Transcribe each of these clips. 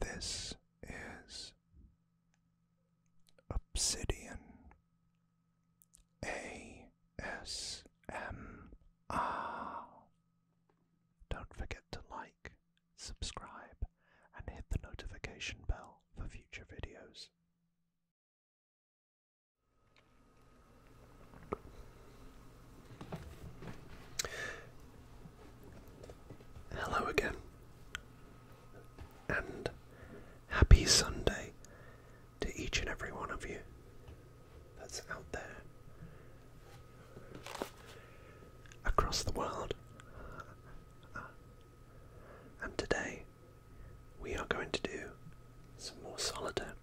This is Obsidian A S M R. Don't forget to like, subscribe, and hit the notification bell for future videos. Hello again, and happy Sunday to each and every one of you that's out there across the world. And today we are going to do some more solitaire.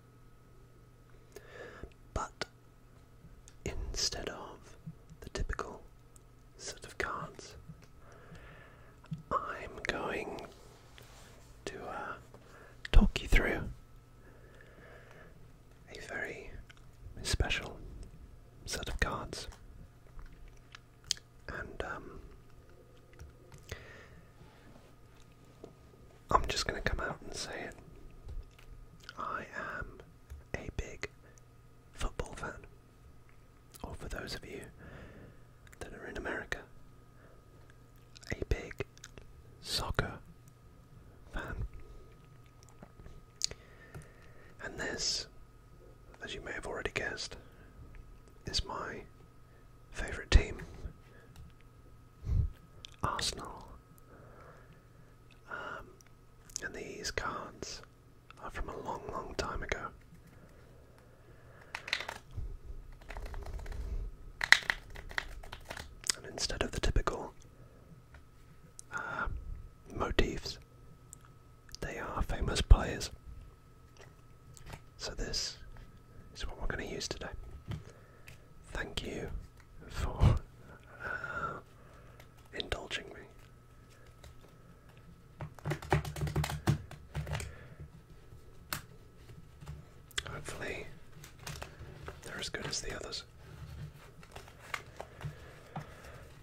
But instead of the typical set of cards. I'm going to uh, talk you through a very special set of cards, and um, I'm just going to come out and say it. I am a big football fan. Or for those of you that are in America, a big soccer fan. And this, as you may have already guessed, is my favourite team Arsenal. Um, and these cards are from a long, long time ago. And instead of the typical uh, motifs, they are famous players. So, this is what we're going to use today. Thank you for uh, indulging me. Hopefully, they're as good as the others.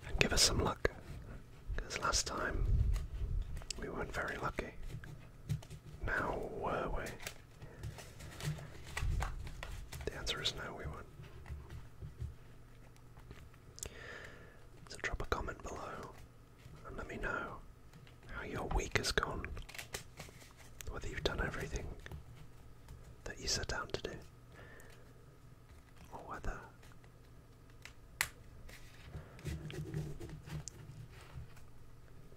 And give us some luck, because last time we weren't very lucky. Now were we? The answer is no, we won't. So drop a comment below and let me know how your week has gone. Whether you've done everything that you set down to do, or whether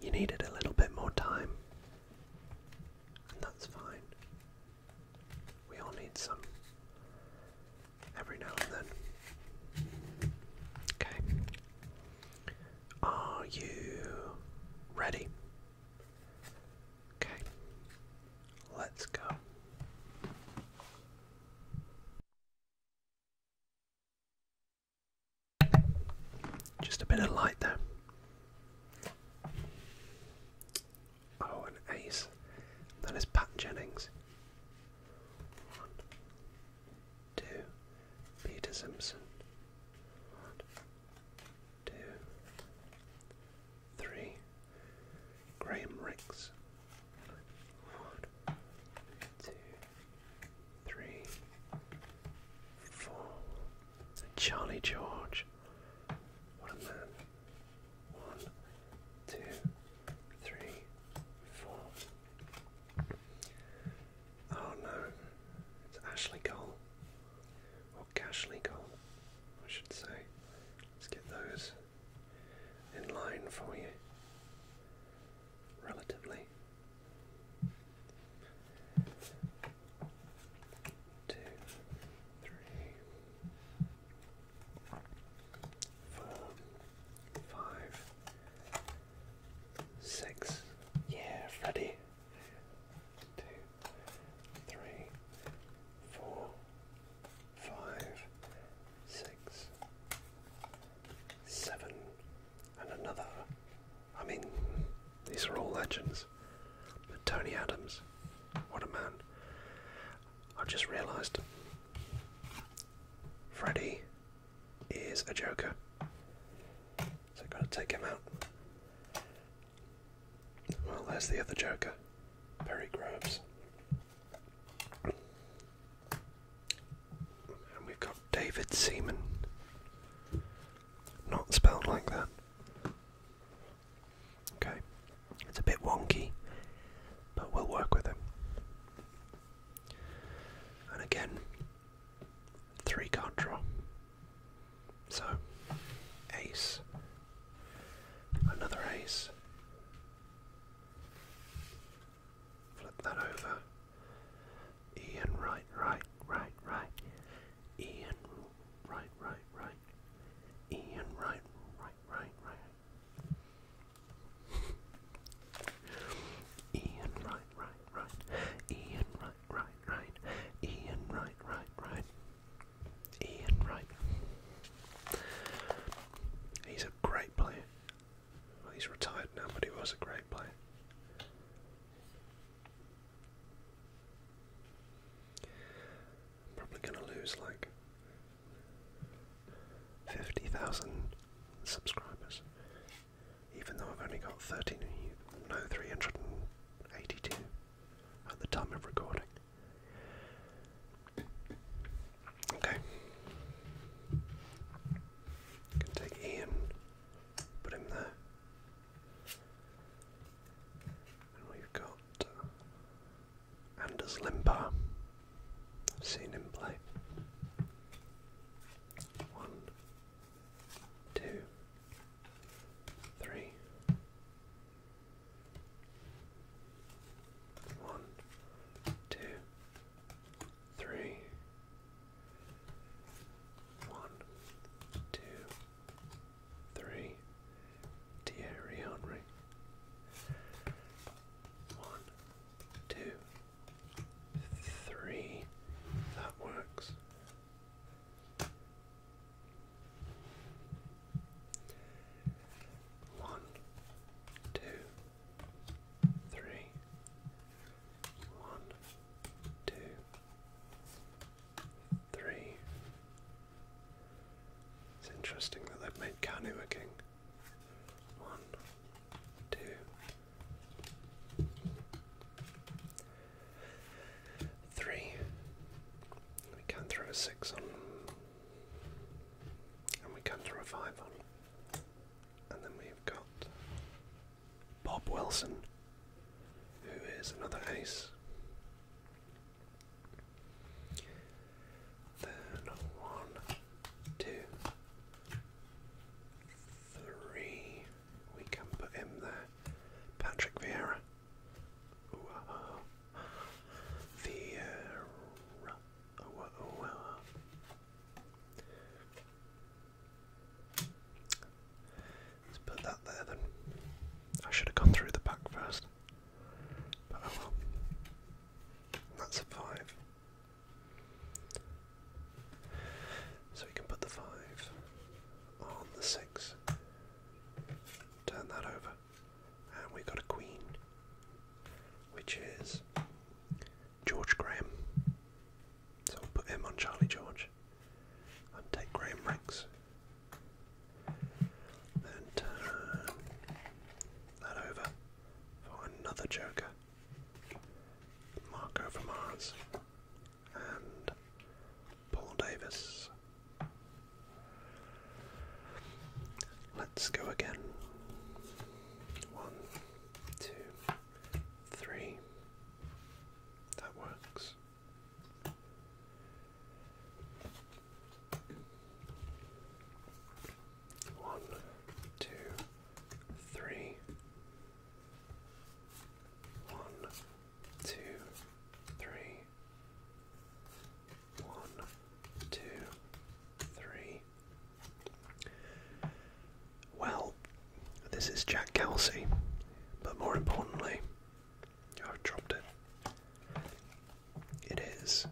you needed a little bit more time that's fine. We all need some every now and then. Okay. Are you ready? Okay. Let's go. Just a bit of light there. Oh, an ace. That is Pat Jennings. One, two, Peter Simpson. One, two, three, Graham Ricks. One, two, three, four, Charlie George. What a man. One, two, three, four. Oh no. It's Ashley Cole. Or Cashley Cole, I should say. Let's get those in line for you. Relatively two, three, four, five, six. Yeah, Freddy. Two, three, four, five, six, seven, and another I mean, these are all legends. But Tony Adams, what a man. I've just realised Freddy is a joker. So I've got to take him out. Well, there's the other joker, Barry Groves. And we've got David Seaman. Not spelled like that. Okay, it's a bit wonky, but we'll work with it. And again, three card draw. So, ace, another ace. Flip that over. E right, right, right, right. Ian, right, right, right. Ian, right, right, right, right. Ian, right, right, right. Ian, right, right, right. Ian, right, right, right. Ian, right. He's a great player. Well, he's retired now, but he was a great player. I'm probably going to lose like 50,000 subscribers, even though I've only got 13, no, 382 at the time of recording. Okay. can take Ian, put him there. And we've got uh, Anders Limpar. I've seen him play. One, two, three. One, two, three, one, two, three. Thierry Henry. One, two, three. That works. One, two, three. One, two. Three. It's interesting that they've made Kanu a king. One, two, three. We can throw a six on, and we can throw a five on, and then we've got Bob Wilson, who is another ace. Then one, two, three. We can put him there. Patrick Vieira. Ah, ah, ah. Vieira. Let's put that there then. I should have gone through the back first. But oh well. That's a five. So we can put the five on the six. Turn that over. And we got a queen. Which is George Graham. So we'll put him on Charlie George and take Graham Rex. Then turn that over for another Joker. Marco from and Paul Davis. Let's go again. One, two, three. That works. One, two, three. One, two, three. One, two, three. Well, this is Jack Kelsey, but more importantly, I've dropped it. It is.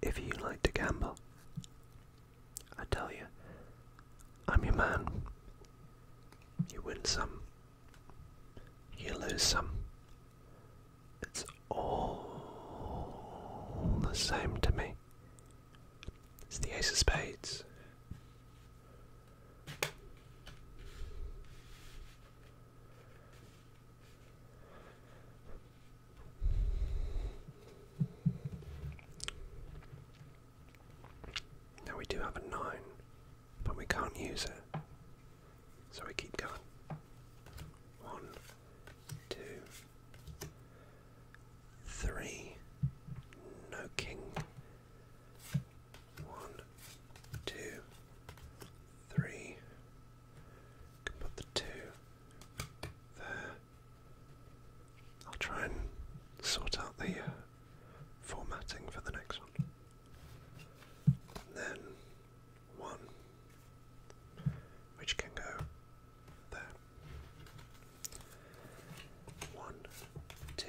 If you like to gamble, I tell you, I'm your man. You win some, you lose some. It's all the same to me. It's the Ace of Spades. Now we do have a nine, but we can't use it. So we keep going. One, two, three, no king. One, two, three. Can put the two there. I'll try and sort out the uh, formatting for the next one. then one, which can go there. One, two,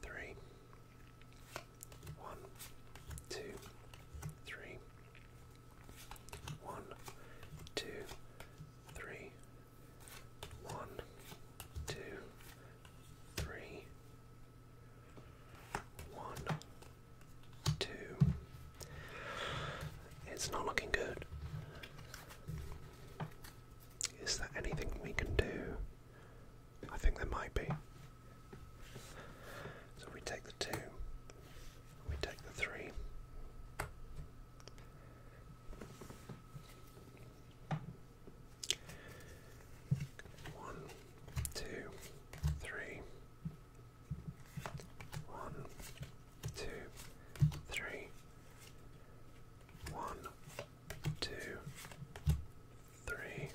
three. One, two, three. One, two, three. One, two, three. One, two. It's not looking good. Is there anything we can do? I think there might be. So we take the two, we take the three. One, two, three. One, two, three. One, two, three,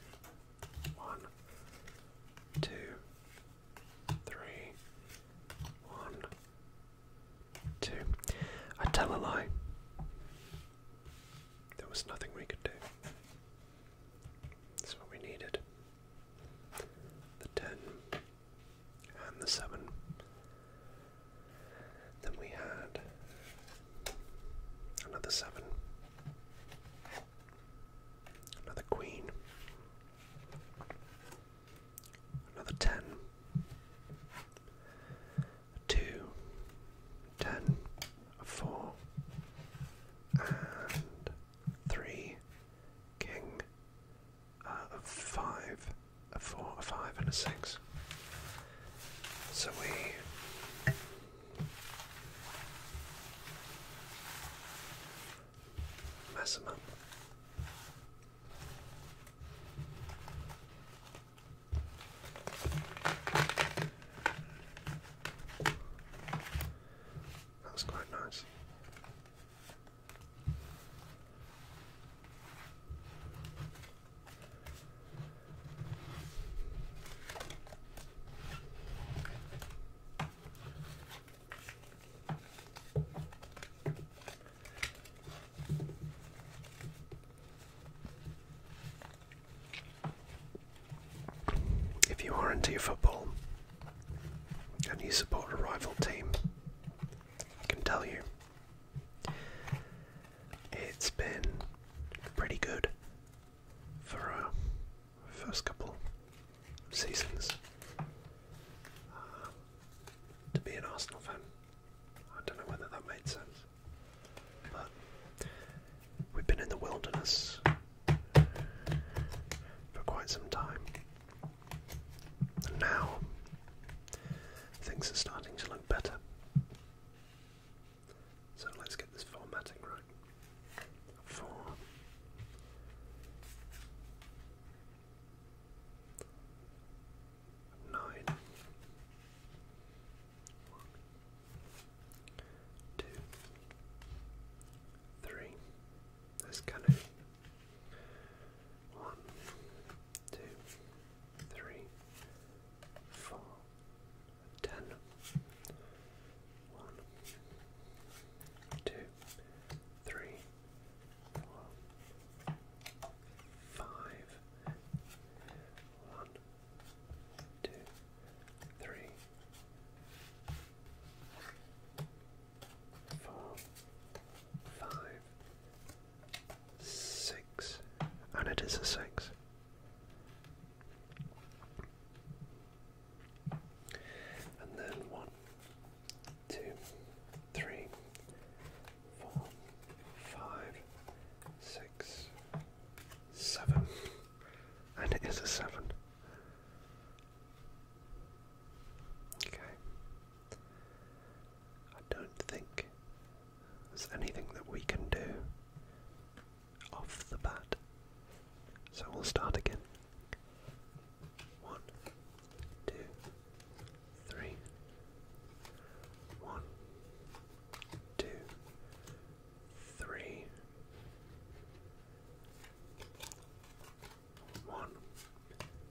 one, two, three, one, two. I tell a lie. There was nothing we could do. That's what we needed. The ten and the seven. Then we had another seven, another queen, another ten, and three, king, a 5, a 4, a 5, and a 6. So we. mess them up. That's quite nice. If you are into football and you support a rival team, I can tell you it's been pretty good for our uh, first couple seasons. Uh, to be an Arsenal fan, I don't know whether that made sense, but we've been in the wilderness for quite some time, and now Things are starting to look better. So let's get this formatting right. Four. Nine. One. Two. Three. One, two, three, four, ten. One, two, three, four, five. One, two, three, four five, six, and it is a six. And then one, two, three, four, five, six, seven, and it is a seven. Okay. I don't think there's anything that we can do off the bat. So we'll start again. One, two, three. One, two, three. One,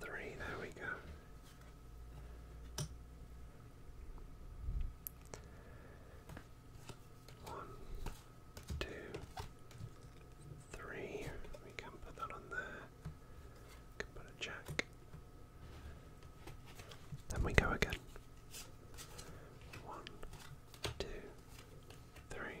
Three, there we go. One, two, three. We can put that on there. can put a jack. Then we go again. One, two, three.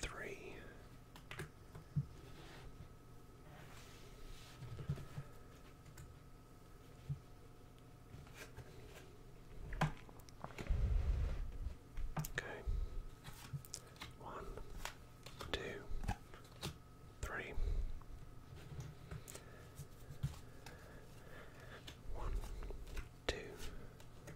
three. Okay. One, two, three. One, two,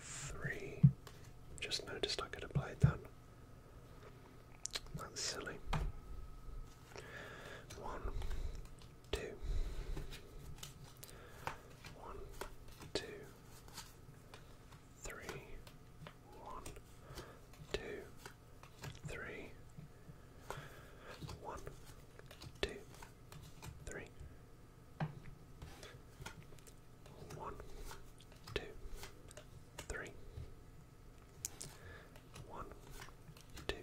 three. Just noticed I could have played that. That's silly. One, two. One, two, three. One, two, three. One, two, three. One, two, three. One, two,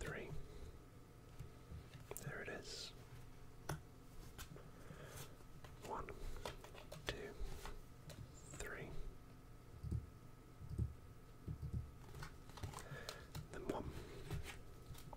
three. There it is. One, two, three. Then one,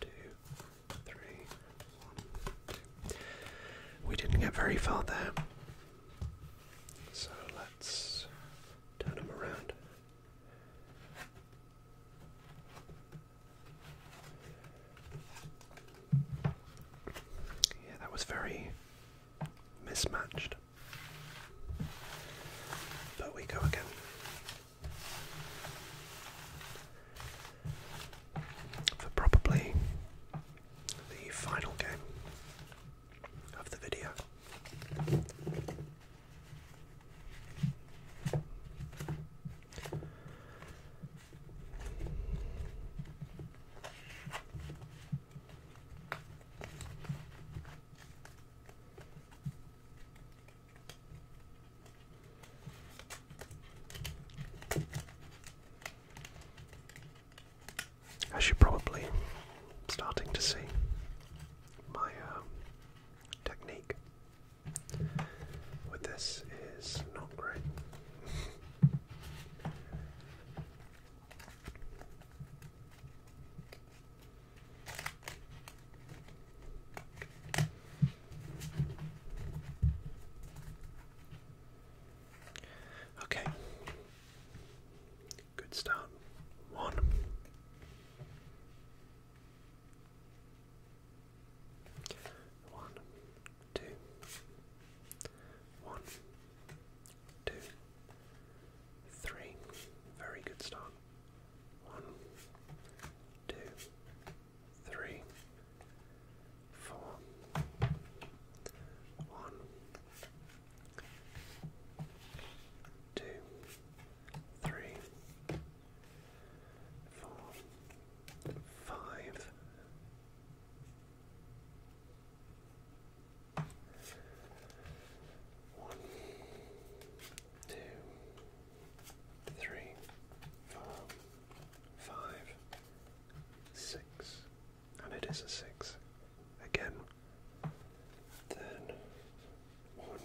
two, three, one, two. We didn't get very far there. So let's turn them around. Yeah, that was very mismatched. But we go again for probably the final game of the video. As you're probably starting to see, my um, technique with this is not great. Okay. Good start. One. One, two, one, two, three. Very good start. One, two, three, four. One, two, three, four, five. One, two, three, four, five, six, and it is a six again. Then one,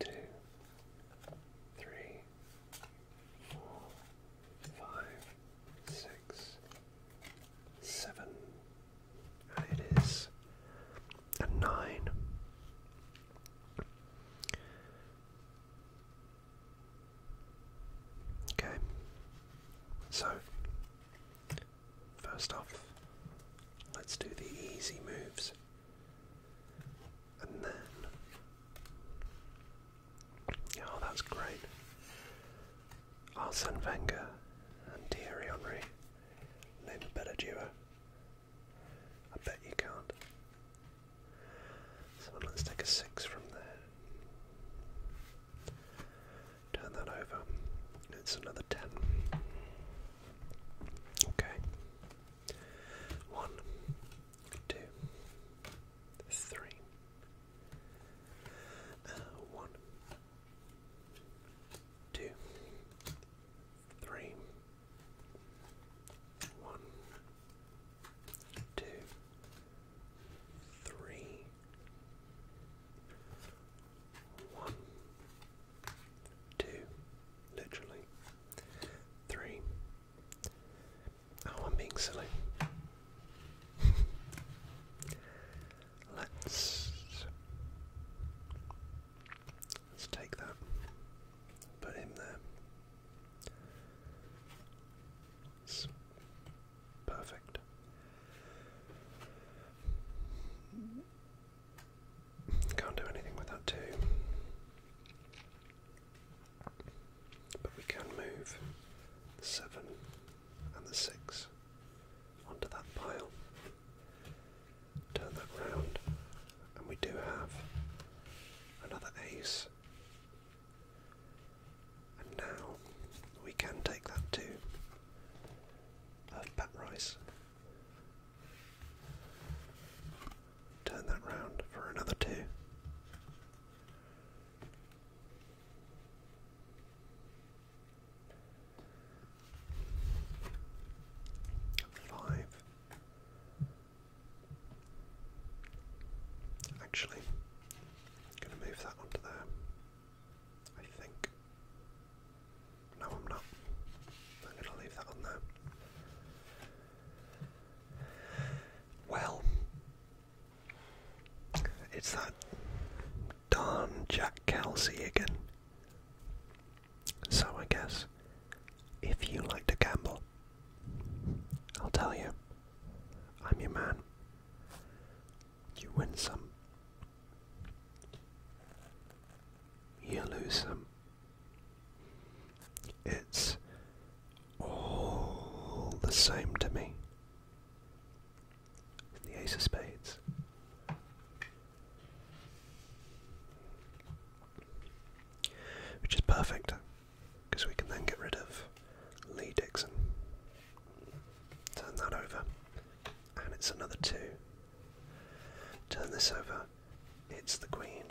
two, three, four, five, six, seven, and it is and nine. Okay, so first off, let's do the easy moves, and then oh, that's great. Arsene Wenger and Thierry Henry name a better duo. I bet you can't. So let's take a six from there. Turn that over. It's another ten. Okay. One, two, three, uh, one, two, three, one, two, three, one, two, literally, three. Oh, I'm being silly. Let's Let's take that. Put him there. It's perfect. Can't do anything with that too. But we can move the seven and the six onto that pile. Turn that round, and we do have another ace. And now we can take that too. uh, bat rice. Turn that round for another two. Five. Actually, I'm going to move that onto there. I think. No, I'm not. I'm going to leave that on there. Well, it's that darn Jack Kelsey again. So I guess if you like to gamble, I'll tell you, I'm your man. You win some, you lose some. It's all the same to me. The Ace of Spades. Which is perfect because we can then get rid of Lee Dixon. Turn that over, and it's another two. Turn this over, it's the Queen,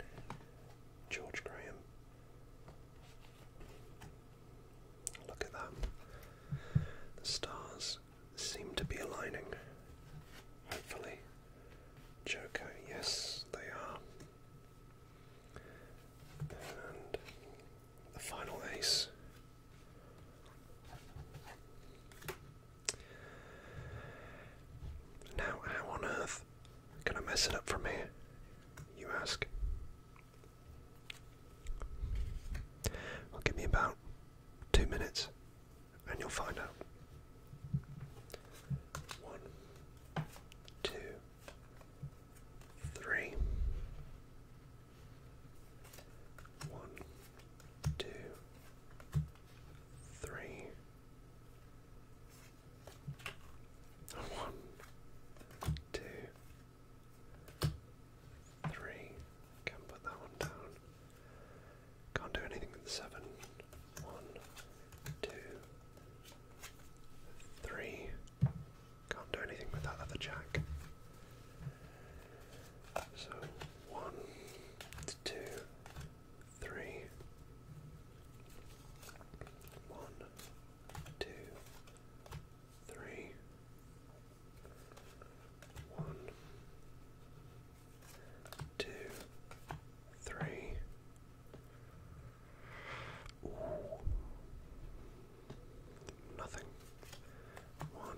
George Graham. Look at that. The stars seem to be aligning. Hopefully, Joko, yes, they are. And the final ace. Now, how on earth can I mess it up from here? You ask. Well, give me about two minutes and you'll find out. One, two, three. One, two, three. One, two, three. Can put that one down. Can't do anything with the seven. two, three. Can't do anything with that other jack. so 123 two, three. Nothing. One,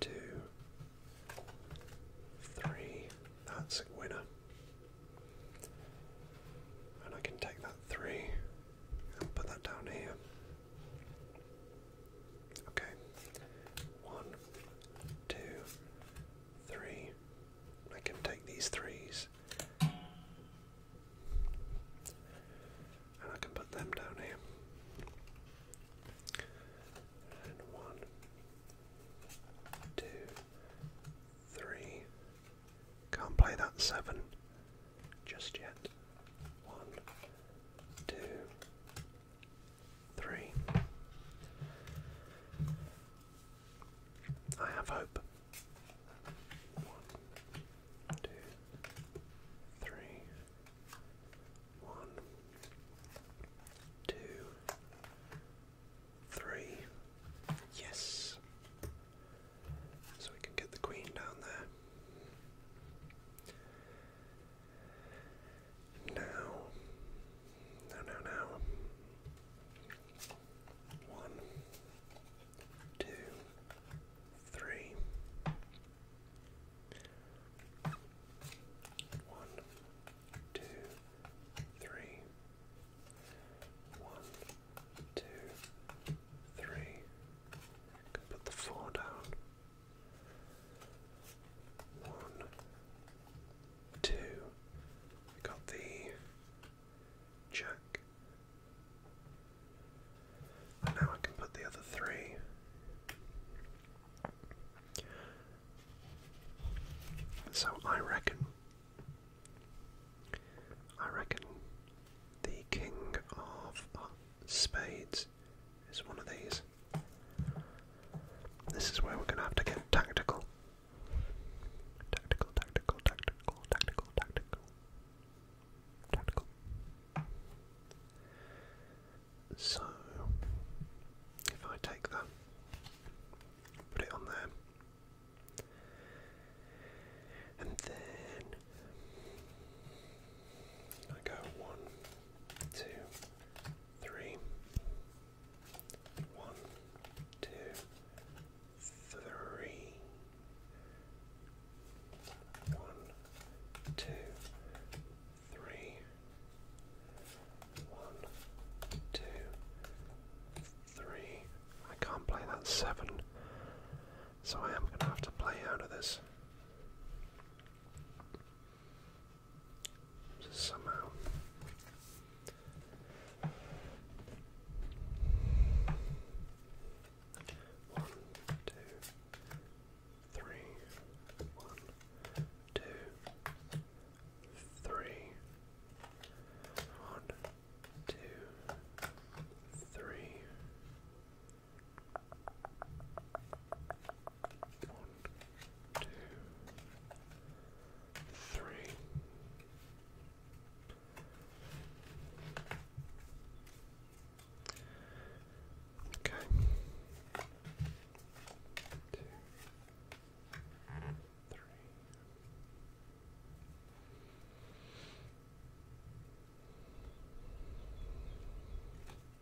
two, three. That's a winner. And I can take that three and put that down here. Okay. One, two, three. I can take these threes. And I can put them down here. And one, two, three. Can't play that seven just yet. One, two, Three. I have hope. One, two, three, one, two, three. Yes. So we can get the queen down there. Now, no, no, no. One, two, three. One, two, three. One, two, three. Can put the four down. One, two. got the jack. now I can put the other three. So I reckon. I reckon the king of spades is one of these. This is where we're going to have to get tactical. Tactical, tactical, tactical, tactical, tactical. Tactical. So, if I take that, put it on there, and then I go one, two, three, one, two, three. One, two, three. One, two, three. I can't play that seven, so I am going to have to play out of this somehow. One, two, three, one, two, three, one, two, three, one, two, three. Okay. Two, three.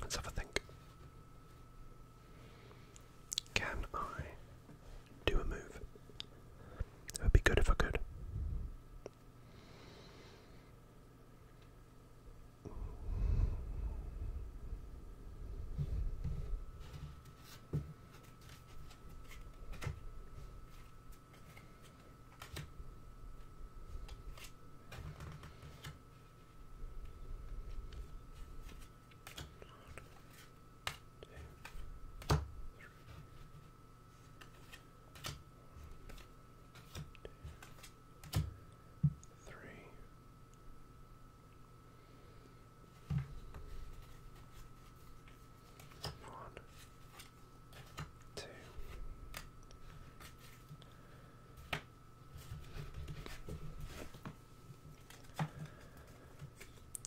Let's have a think. Can I do a move? It would be good if I could. One, two, three. Three. One, two,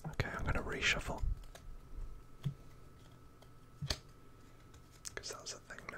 Okay, I'm going to reshuffle. Because that's a thing now.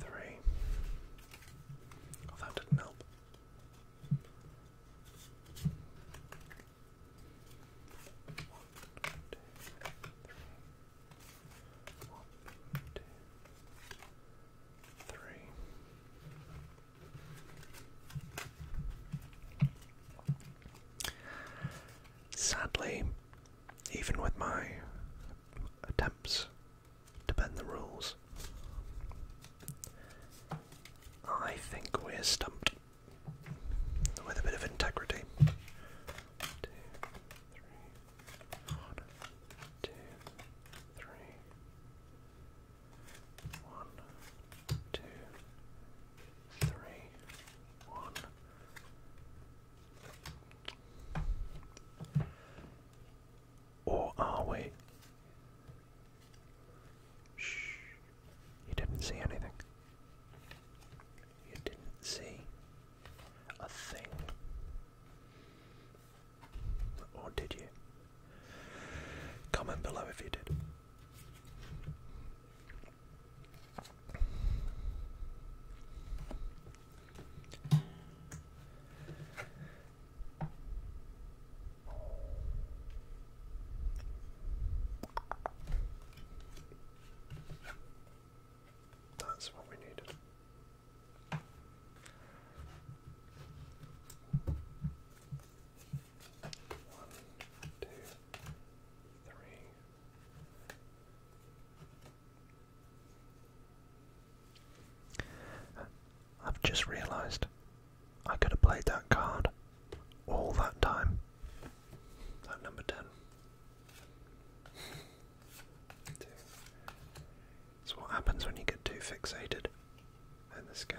Three. Oh, that didn't help. One, two, three. One, two, three. Sadly, even with my attempts to bend the rules. I think we're stumped with a bit of integrity. Or are we? Shh. You didn't see anything. You didn't see a thing. Or did you? Comment below if you did. That's what we needed. One, two, three, I've just realised I could have played that card all that time. At number 10. Two. what happens when you get too fixated in this game.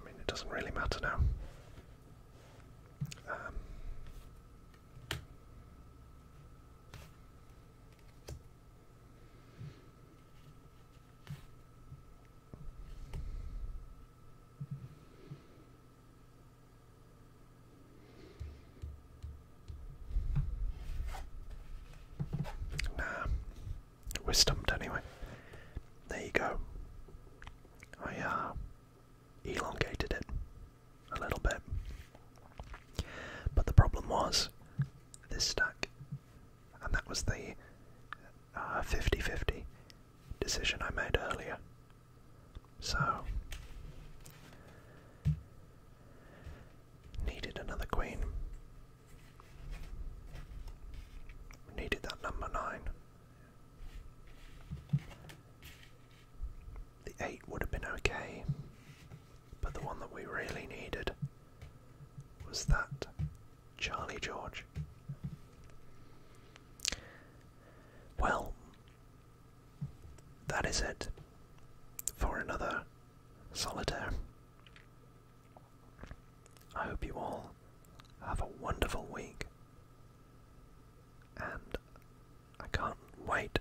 I mean, it doesn't really matter now. Um, Nah, we're stumped anyway. There you go. I uh, elongated it a little bit. But the problem was this stack, and that was the uh, 50 50 decision I made earlier. So, needed another queen. We needed that number nine. The eight would have been okay, but the one that we really needed was that Charlie George. Well, that is it for another Solitaire. I hope you all have a wonderful week, and I can't wait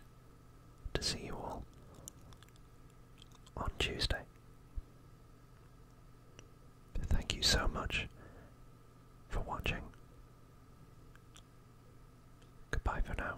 to see you all on Tuesday. Thank you so much for watching. Goodbye for now.